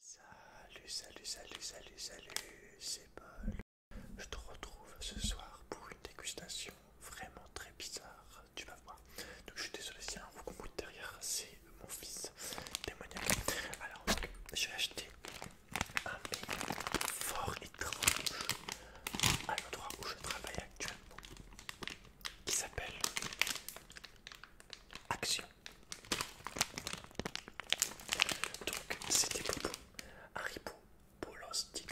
Salut, salut, salut, salut, salut, c'est Paul. Je te retrouve ce soir pour une dégustation vraiment très bizarre, tu vas voir. Donc je suis désolé s'il y a un derrière, c'est mon fils démoniaque. Alors j'ai acheté un fort étrange à l'endroit où je travaille actuellement qui s'appelle Action. Donc c'était des Haribo haricots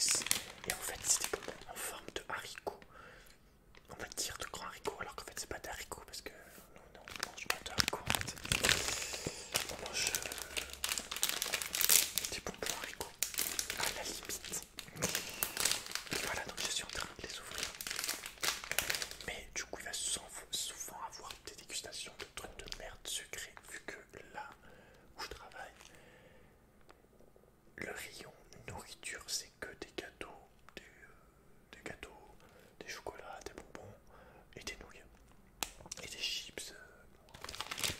et en fait c'est des en forme de haricots. On va dire de grands haricots alors qu'en fait c'est pas des parce que non, non, on mange pas de haricots en fait. On mange euh, des bonbons haricots à la limite. Voilà donc je suis en train de les ouvrir. Mais du coup, il va souvent avoir des dégustations de trucs de merde sucrée, vu que là où je travaille, le rayon nourriture, c'est que des gâteaux, des, euh, gâteaux, des chocolats, des bonbons et des nouilles et des chips, euh,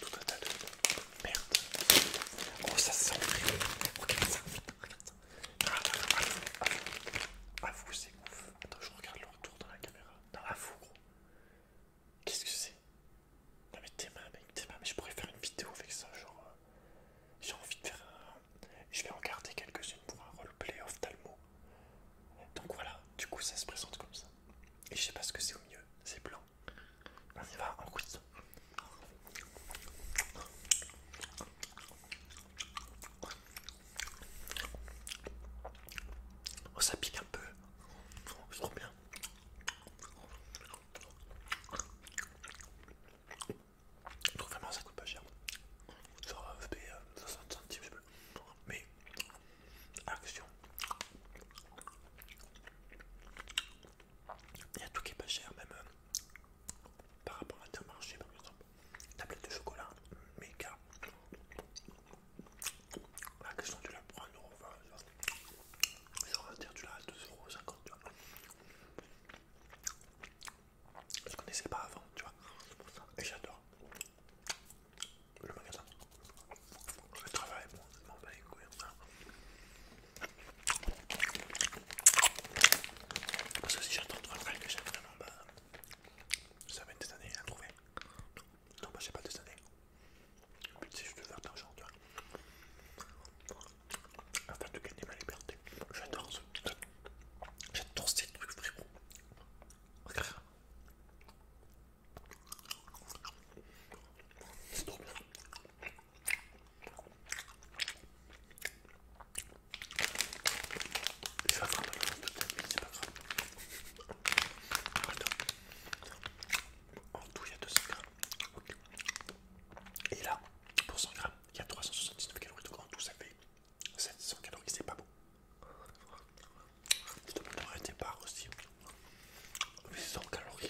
tout un tas de merde. Oh, ça sent Regarde ça, regarde ça vous c'est ouf. Attends, je regarde le retour dans la caméra. Non, avoue, gros. Qu'est-ce que c'est Non, mais t'es mains, mec, t'es Mais je pourrais faire une vidéo avec ça, genre. Euh, j'ai envie de faire un. Je vais en garder quelques-unes pour un roleplay Talmo. Donc voilà, du coup, ça se présente comme ça. Et je sais pas ce que c'est au mieux, c'est blanc. On y va, en quiz. Oh, ça pique un peu, c'est trop bien. trouve vraiment ça coûte pas cher. ça 60 euh, centimes je sais plus. Mais action. Il y a tout qui est pas cher, même euh, par rapport à un marché par exemple, tablette de chocolat, méga. La question tu la prends à dire tu l'as à 2,50€, tu vois. Je connaissais pas avant, tu vois, et j'adore le magasin. Le travail, bon, je m'en les hein. Parce que si j'attends trois voir que j'ai vraiment, bah, ça va être des années à trouver. Non, bah, j'ai pas des années. Le but, c'est juste faire de l'argent, tu vois. Afin de gagner ma liberté. J'adore ce truc. J'adore ces trucs, frérot. Regarde. C'est trop bien. Je vais attraper de mais c'est pas grave. En tout, il y a 200 grammes. Et là, pour 100 grammes, il y a 379 calories. Donc en tout, ça fait 700 calories. C'est pas beau. 800 calories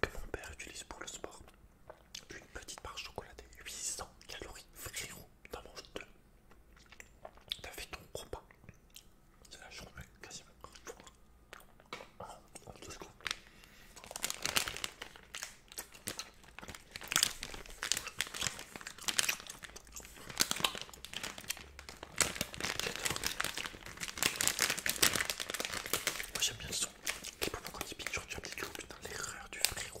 que mon père utilise pour le sport. Une petite barre chocolatée, 800 calories, frérot, t'en manges deux. T'as fait ton repas. C'est la journée, quasiment. Moi j'aime bien le son. Et pour quand il pique, tu appliques dans l'erreur du frérot.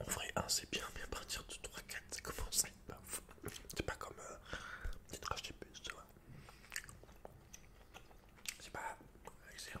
En vrai, 1 hein, c'est bien, mais à partir de 3, 4, c'est commence ça C'est pas comme euh, des trash des tu vois. C'est pas excellent,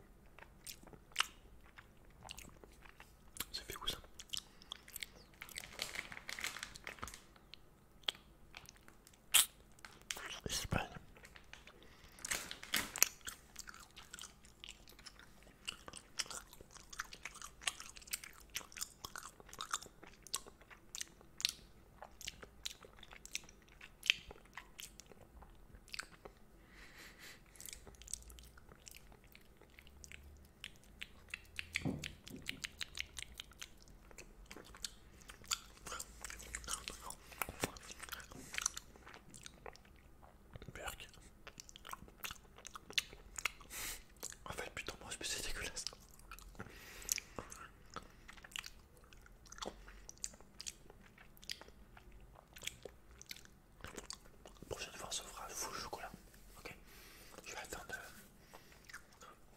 Ça fait où ça Espagne. Berk. enfin putain, moi, je me suis dégueulasse prochaine fois, on se fera full chocolat. Ok Je vais attendre euh,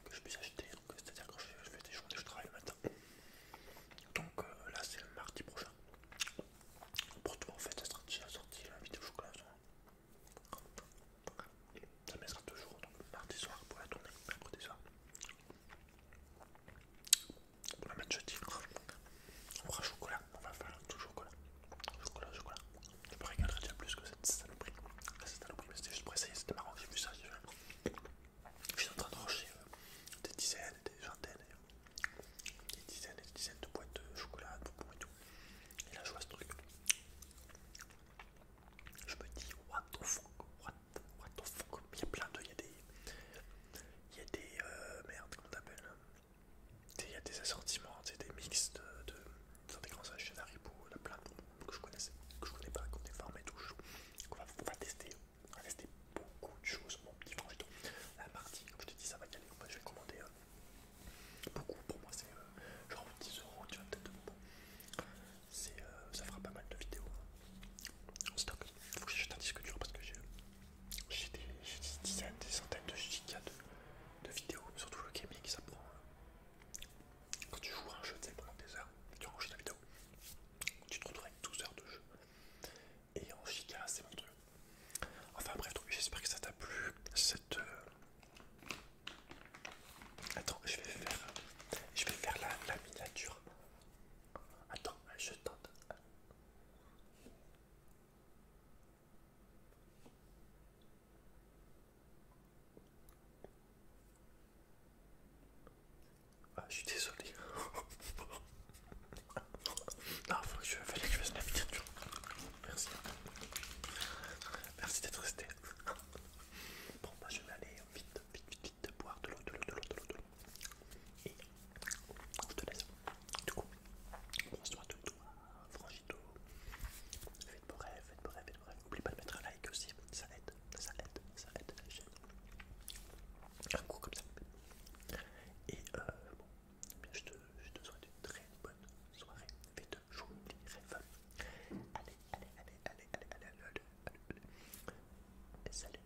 que je puisse acheter. C'est-à-dire que je fais des journées, je travaille le matin. Donc euh, là, c'est le mardi prochain. Pour toi, en fait, ça sera déjà sorti la vidéo chocolat ça mettra toujours donc mardi soir pour la tournée, mercredi soir. pour la mettre jeudi. On fera chocolat, on va faire tout chocolat. Chocolat, chocolat. Je me régalerai déjà plus que cette saloperie. mais c'était juste pour essayer, c'était marrant, j'ai vu ça. Je suis en train de rocher euh, des dizaines, des vingtaines, des dizaines et des dizaines de boîtes de chocolat, de bonbons et tout. Et là, je vois ce truc je me dis what the fuck, what, what the fuck, il y a plein de, il y a des, il y a des, euh, merde, comment t'appelles. Euh, il y a des assortiments, des mix de, des grands achats Haribo, il y a plein de que je connaissais, que je connais pas, qu'on est formé tout qu'on va, on va tester, on va tester beaucoup de choses, mon petit frangito, la partie, comme je te dis, ça va y aller, je vais commander euh, beaucoup, pour moi c'est genre 10 euros, tu vois, peut-être euh, ça fera pas mal de vidéos hein, en stock. il Faut que j'achète un disque dur parce que j'ai des, des dizaines, des centaines de gigas de, vidéos, surtout le gaming, ça prend. Euh, quand tu joues à un jeu, tu sais, pendant des heures, tu enregistres la vidéo, tu te retrouves avec 12 heures de jeu. Et en giga, c'est mon truc Enfin bref, j'espère que ça t'a plu cette, euh, Attends, je vais faire, je vais faire la, miniature. Attends, je tente. Ah, je suis désolé. non, il je fallait que je fasse la miniature. Merci. Merci d'être resté. Bon, bah, je vais aller vite, vite, vite, vite boire de l'eau, de l'eau, de l'eau, de l'eau, de l'eau. Et je te laisse. Du coup, prends-toi tout toi, franchis tout, Faites beau rêve, faites beau rêve, faites beau rêve. N'oublie pas de mettre un like aussi, ça aide, ça aide, ça aide la chaîne. Un coup comme ça. Et euh, bon, je te, je te souhaite une très bonne soirée. vite je Allez, allez, allez, allez, allez, allez, allez, allez, allez, allez. salut.